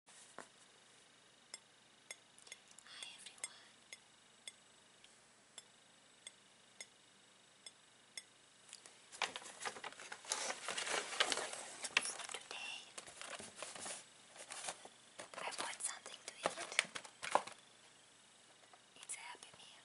Hi everyone. today, I bought something to eat. It's happy meal.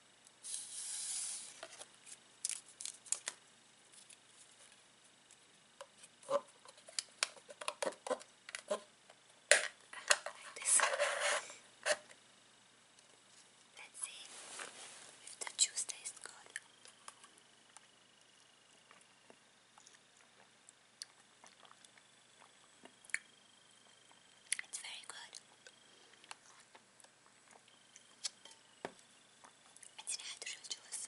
Like this. Let's see if the juice good. It's very good. I didn't have to choose.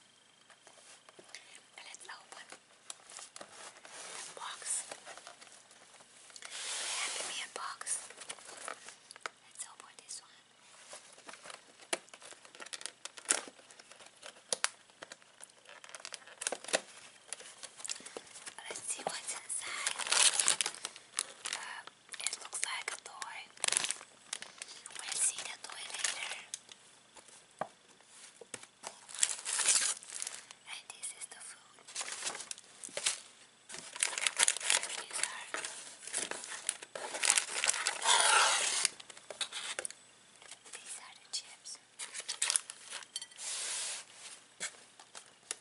Let's open the box. The Happy Meal box. Let's open this one. Let's see what's inside. Uh, it looks like a toy. We'll see the toy later. And this is the food. These are these are the chips.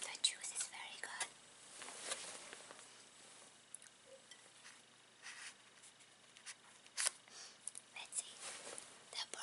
The juice is very good. Let's see the burger.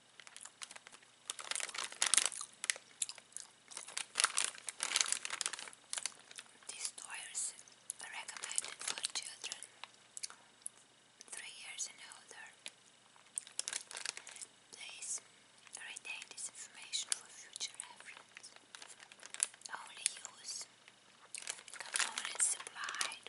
These toys are recommended for children three years and older. Please retain this information for future reference. Only use components supplied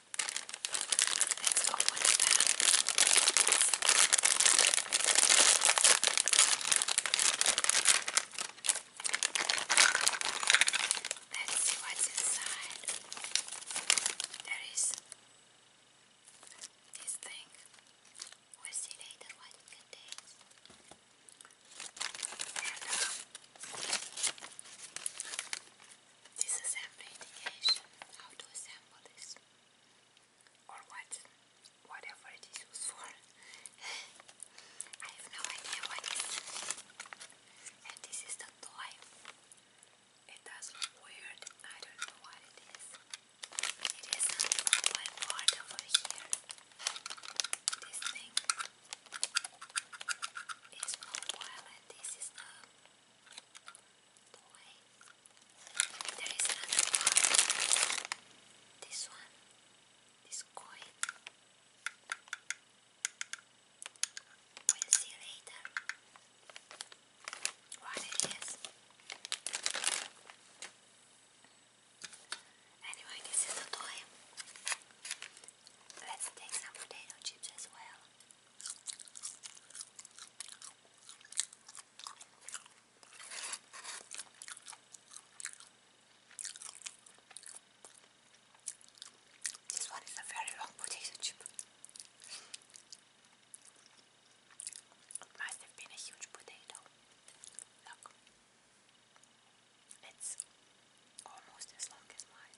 Let's open it up. Let's see what's inside. There is this thing. We'll see later what it contains. And, um, this assembly indication how to assemble this or what whatever it is used for. I have no idea what it is. And this is the toy. It does look weird. I don't know what it is. It is one board over here. This thing is mobile and this is the boy. There is another one. This one. This coin. We'll see later what it is. Anyway, this is the toy. Let's take some potato chips as well. This one is a very long potato chip. It must have been a huge potato. Look, it's almost as long as mine.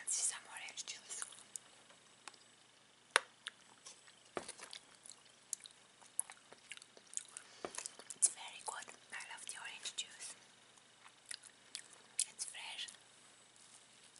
Anzi samo reći su. It's very good. I love the orange juice. It's fresh.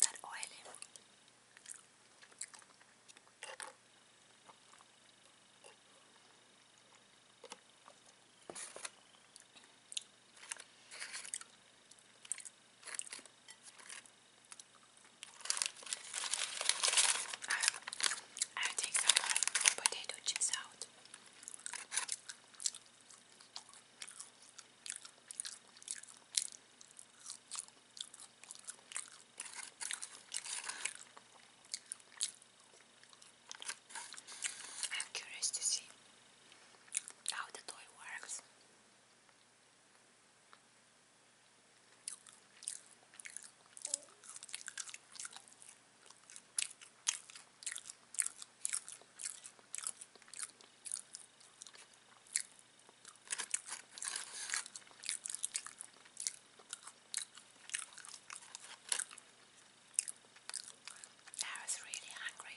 that oily. i take some uh, potato chips out. I'm curious to see how the toy works. I was really hungry.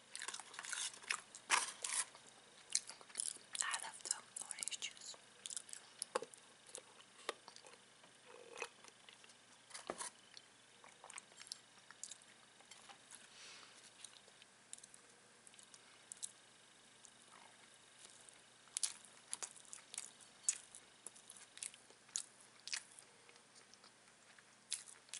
I love the orange juice.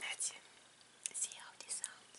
Let's see how this sounds.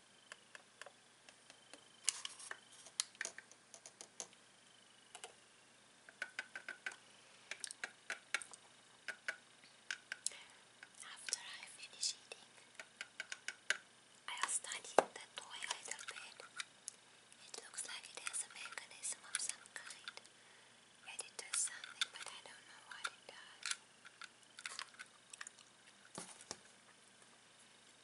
After I finish eating, I'll study the toy a little It looks like it has a mechanism of some kind. And it does something, but I don't know what it does.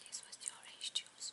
This was the orange juice.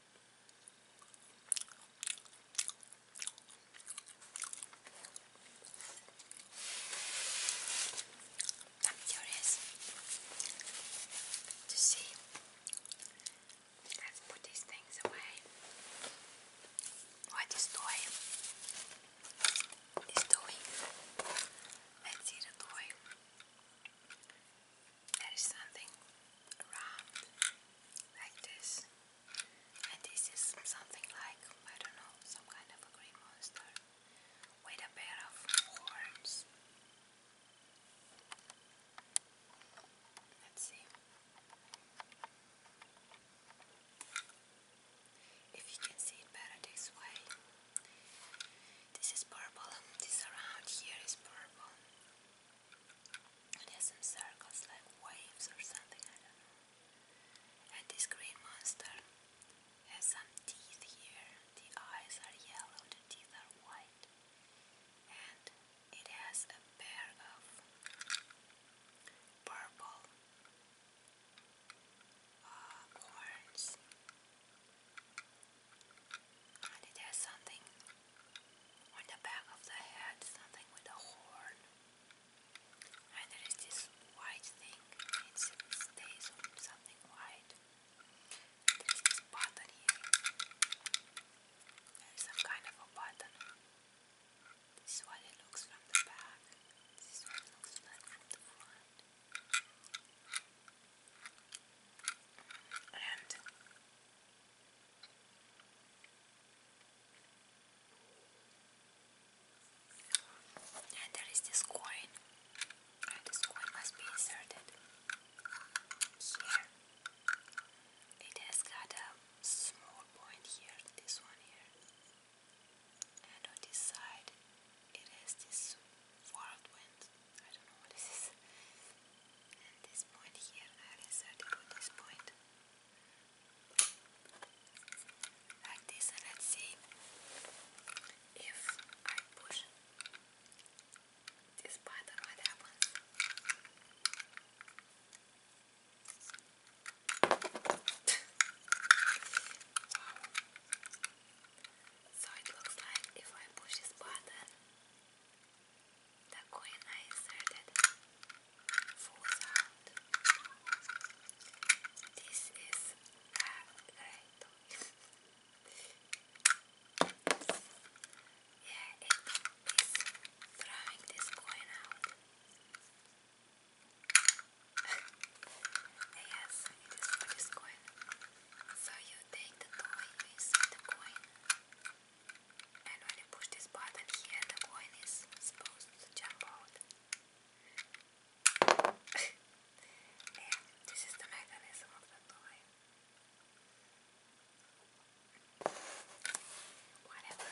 I'm curious to see. Let's put these things away. What is toy? This toy. Let's see the toy there is something round like this, and this is something like I don't know, some kind of a green monster with a pair of horns. Let's see. If you can see it better this way, this is purple, this around here is purple, it has some circles like waves or something, I don't know. And this green monster has some teeth here. The eyes are yellow, the teeth are white. And it has a pair of purple uh, horns. And it has something on the back of the head, something with a horn. And there is this white thing, it stays on something white. There's this button here. some kind of a button. This is what it looks from the back. This is looks like from the front. And and there is this coin. Uh, this coin must be inserted here. It has got a small point here, this one here. And on this side, it has this whirlwind I do this point here, I inserted with this point. let's see if I push this button, So it looks like if I push this button, the queen I inserted falls out. This is uh, great. yeah, it is throwing this coin out. yes, it is this coin. So you take the toy, you insert the coin. And when you push this button here, the coin is supposed to jump out. and this is the mechanism of the toy. Whatever.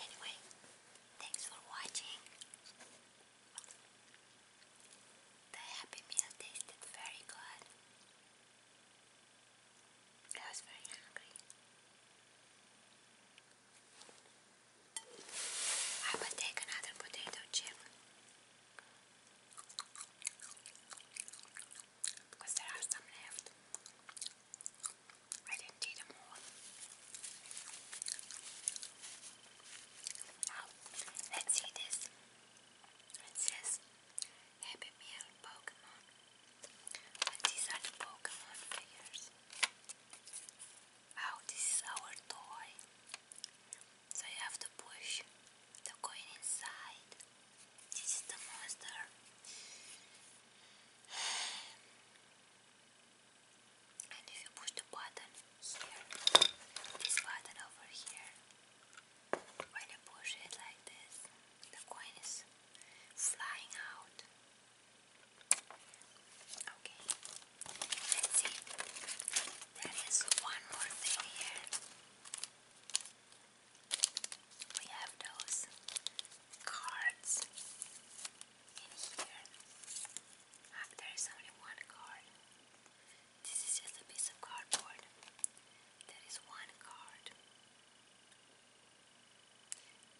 Anyway, thanks for watching. The Happy Meal tasted very good. I was very hungry. I will take another potato chip because there are some left. I didn't eat them all. Now, let's see this. It says Happy Meal Pokemon. these are the Pokemon figures. Oh, this is our toy. So you have to push the coin inside. This is the monster. and if you push the button here, this button over here, when you push it like this, the coin is flying out. Okay, let's see. There is one more thing here. We have those cards in here there is only one card. This is just a piece of cardboard. There is one card.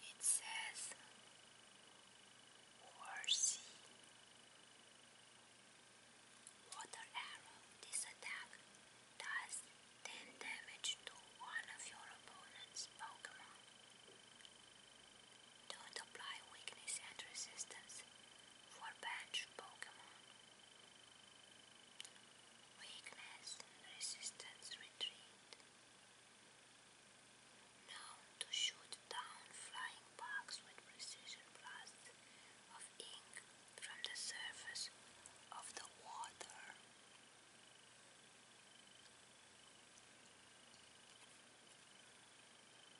It says Horsey. Water arrow. This attack does 10 damage to one of your opponent's Pokemon. Don't apply weakness and resistance for bench Pokemon. Weakness and resistance retreat. Known to shoot down flying bugs with precision blasts of ink from the surface of the water.